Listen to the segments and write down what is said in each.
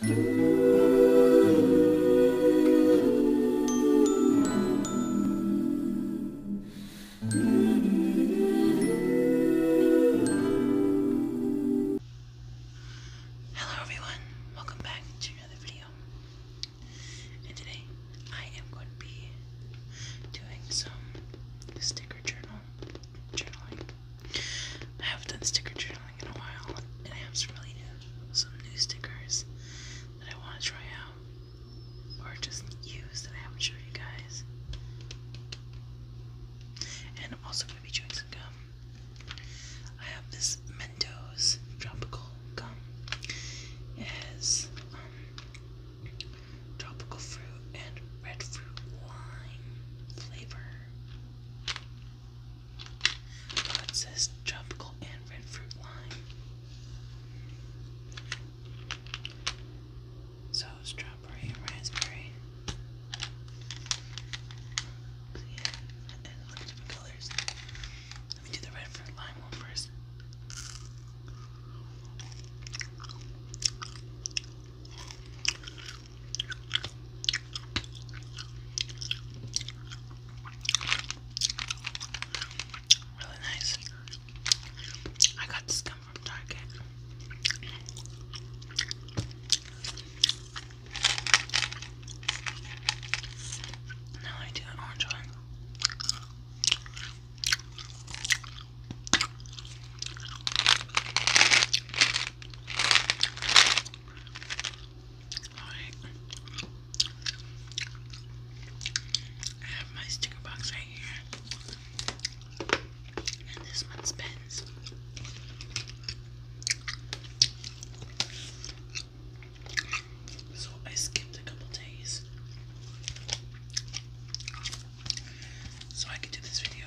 Hello everyone, welcome back to another video. And today I am going to be doing some sticker journal journaling. I haven't done sticker journaling in a while, and I have some really new, some new stickers that I want to try out, or just use that I haven't shown you guys. And I'm also going to be chewing some gum. I have this Mentos tropical gum. It has um, tropical fruit and red fruit lime flavor. Oh, it tropical and red fruit lime. So strawberry and raspberry. Yeah, and look at colors. Let me do the red fruit lime one first. Really nice. I got this gum from Target. Now I do I have my sticker box right here. And this one's pens. So I skipped a couple days. So I could do this video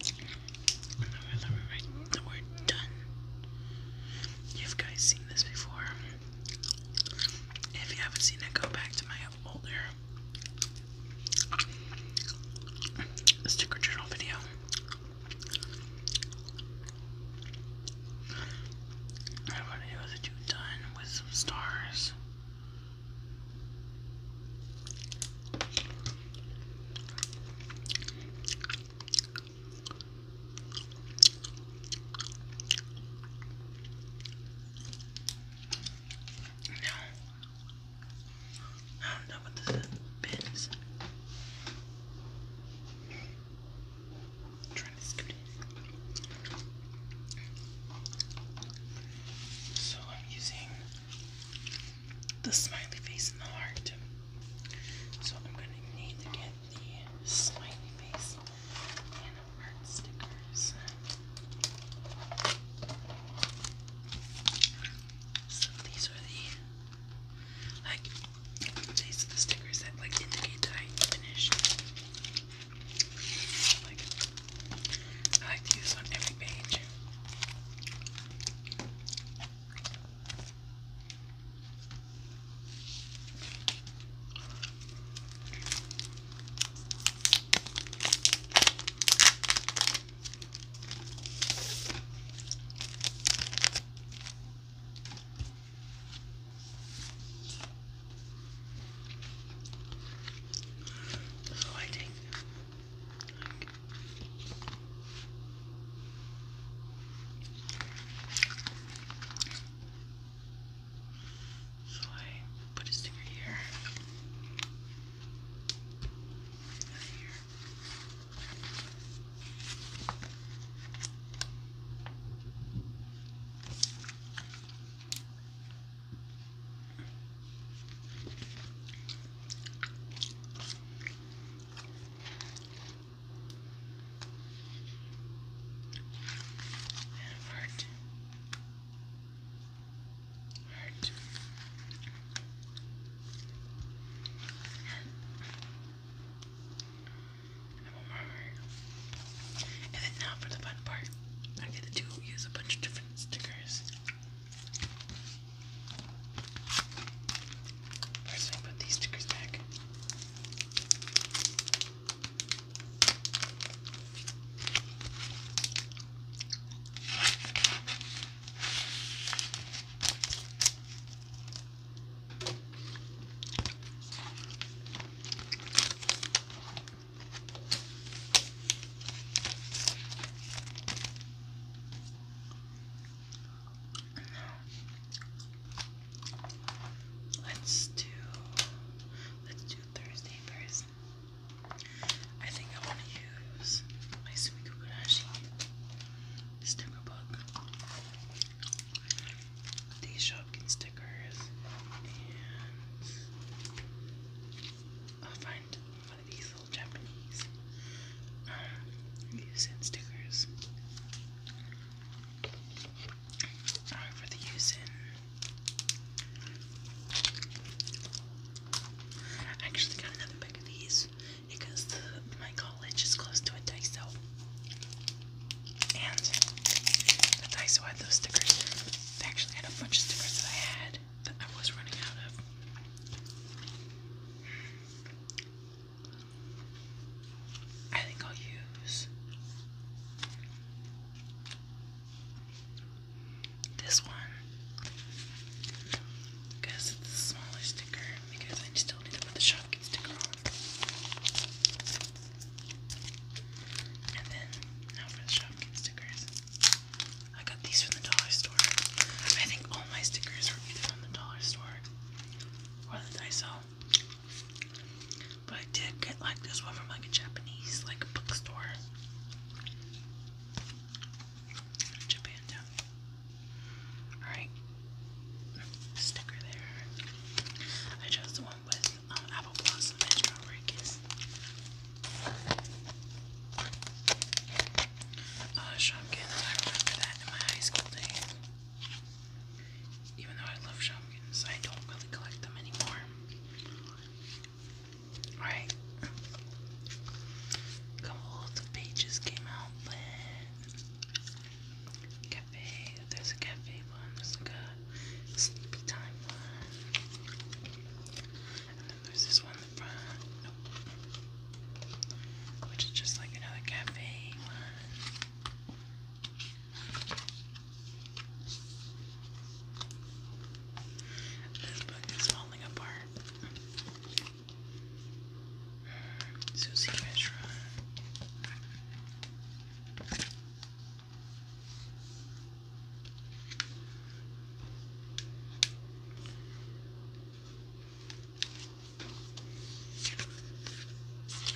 If I remember right, the word done. You've guys seen this before. If you haven't seen it, go back to my older sticker journal video. I want to do is do done with some stars. No. I don't know what this is. I'm trying to scoot it. So I'm using the smiley face and the heart. So I'm going to need to get the smiley face and heart stickers. So these are the, like, these are the stickers that, like, indicate that I finished. Like, I like to use on every page. So I take so I put his finger here. And here. And heart. then now for the fun part. I get to use a bunch of different stickers. Where should I put these stickers back? Let's do let's do Thursday first. I think I want to use my Sumi Kukurashi sticker book. These Shopkin stickers and I'll find these little Japanese um, stickers. Uh, for the Yusen. I actually got another bag of these because my college is close to a Daiso. And the Daiso had those stickers. They actually had a bunch of stickers that I had that I was running out of. I think I'll use this one because it's a smaller sticker because I still need to put the Shopkins sticker on. And then now for the Shopkins stickers. I got these from the dollar store. I think all my stickers were either from the dollar store or the Daiso. But I did get like this one from like a Japanese like bookstore. Japan Alright. Sticker there. I chose the one with um, apple blossom and strawberry a uh, Shopkins, I remember that in my high school days. Even though I love Shopkins, I don't really collect them anymore. Alright. A couple of pages came out, cafe, there's a cafe one, there's like a there's this one in the front. Which is just like another cafe one. This book is falling apart. Susie Restaurant.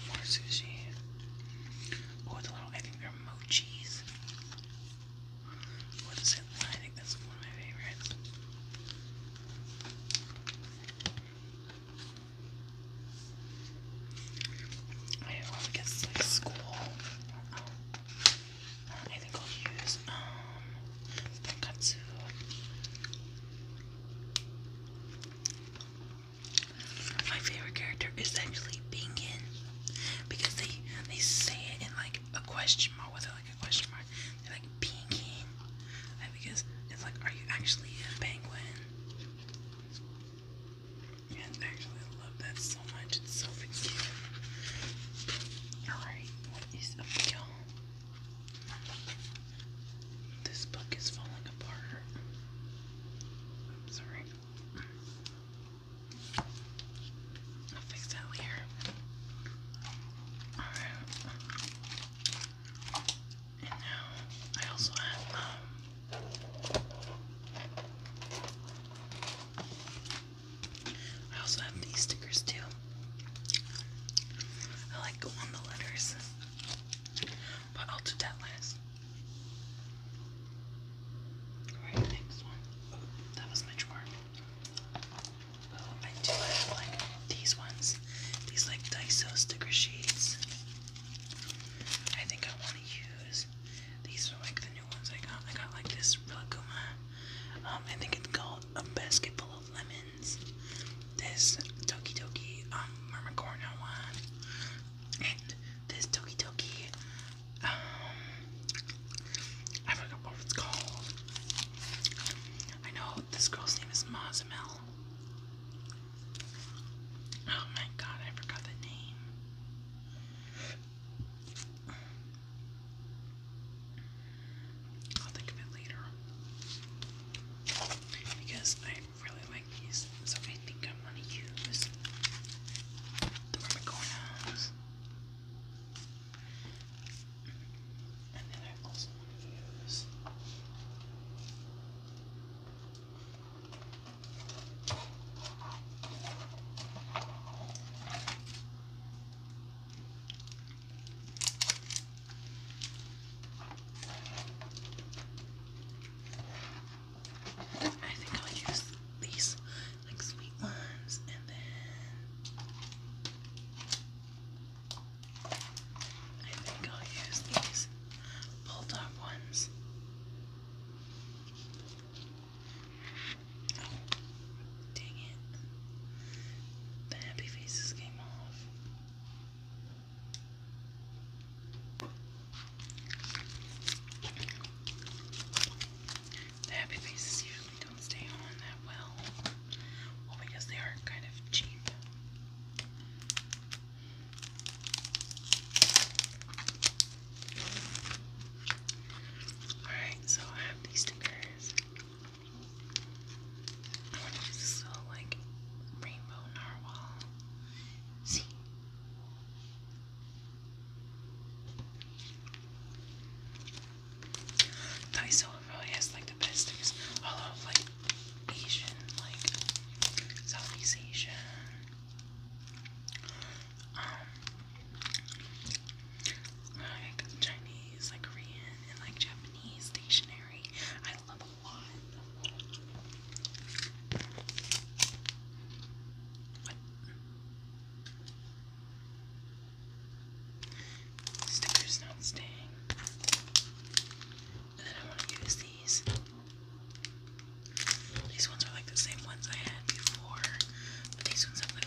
More sushi. Oh, the little, I think they're mochis. What is it? I think that's one of my favorites. I always guess like school. I think I'll use um My favorite character is actually Bingen because they they say it in like a question mark with like a question mark. They're like Bingen, because it's like, are you actually a penguin? And actually, love that so much. It's so cute. All right, what is a this book is falling apart. sorry. I'll fix that later. Alright. And now I also have um I also have these stickers too. I like go on the letters, but I'll do that last. Alright, next one. that was my drawer. Oh, I do like these ones. These like Daiso sticker sheets. I think I want to use. These like the new ones I got. I got like this Rilakkuma. Um, I think it's gold a basket full of lemons, this Toki Toki um, Mermicorno one, and this Toki Toki, um, I forgot what it's called. I know this girl's name is Mazamel. Oh my god, I forgot the name. I'll think of it later. Because I really like these, so I think I'm gonna use the Rubicon And then I also want to use I think I'll use these like sweet ones and then I think I'll use these bulldog ones dang it. The happy faces came off. The happy faces usually don't stay on that well. Well, because they are kind of cheap. Alright, so these stickers. I want to use this little, like, rainbow narwhal. See? Daiso really has, like, the best stickers. All of, like, Asian, like, Southeast Asian um, like Chinese, like Korean, and like Japanese stationery. I love a lot. What? Stickers not staying. And then I want to use these. These ones are like the same ones I had before, but these ones have like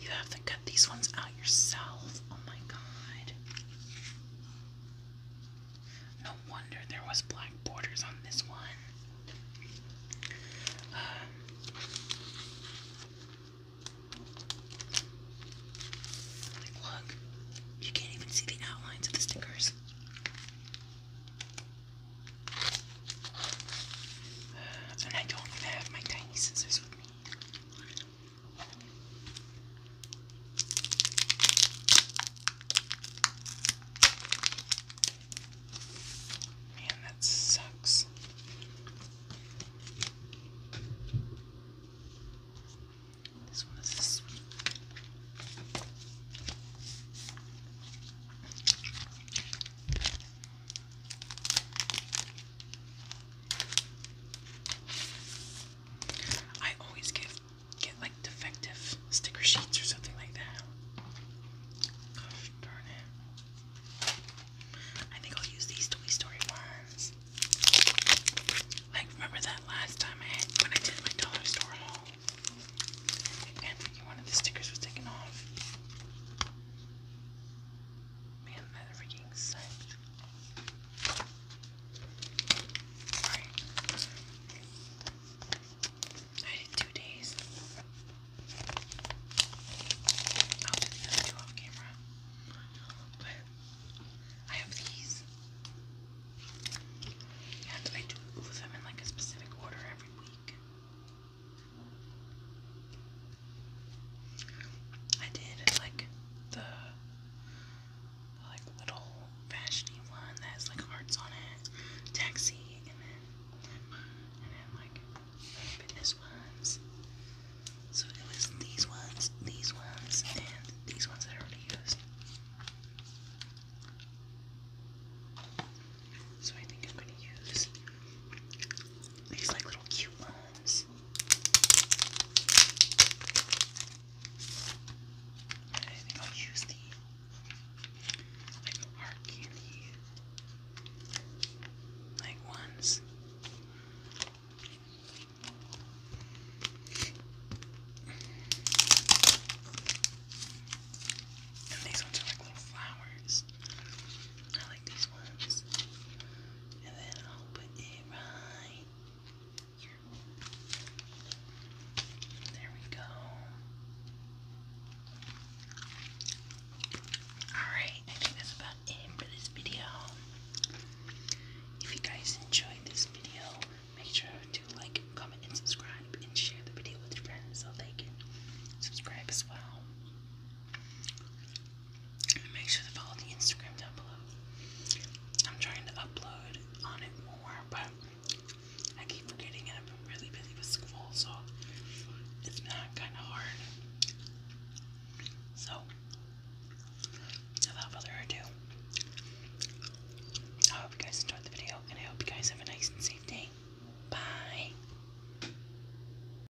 You have to cut these ones out yourself. Oh my god. No wonder there was black borders on this one. Um, look, you can't even see the outlines of the stickers. and I don't even have my tiny scissors with me. Man, that sucks. This one is I always get get like defective sticker sheets or something like that. Gosh darn it. I think I'll use these Toy Story ones. Like remember that last time when I did my dollar store haul? And one of the stickers was taken off. Man, that freaking sucked. I did two days. I'll do the two off camera. But I have these. And I do them in like a specific order every week. I did like the, the like little fashiony one that has like hearts on it, taxi, and then and then like fitness ones. So it was these ones, these ones, and these ones that I already used. So I think I'm gonna use these like little cute ones. I think I'll use the like hard candy like ones. And these ones are like little flowers ones. I like these ones. And then I'll put it right here. There we go. Alright, I think that's about it for this video. If you guys enjoyed this video, make sure to like, comment, and subscribe, and share the video with your friends so they can subscribe as well make sure to follow the Instagram down below. I'm trying to upload on it more, but I keep forgetting and I've been really busy with school, so it's been kind of hard. So, without further ado, I hope you guys enjoyed the video and I hope you guys have a nice and safe day. Bye.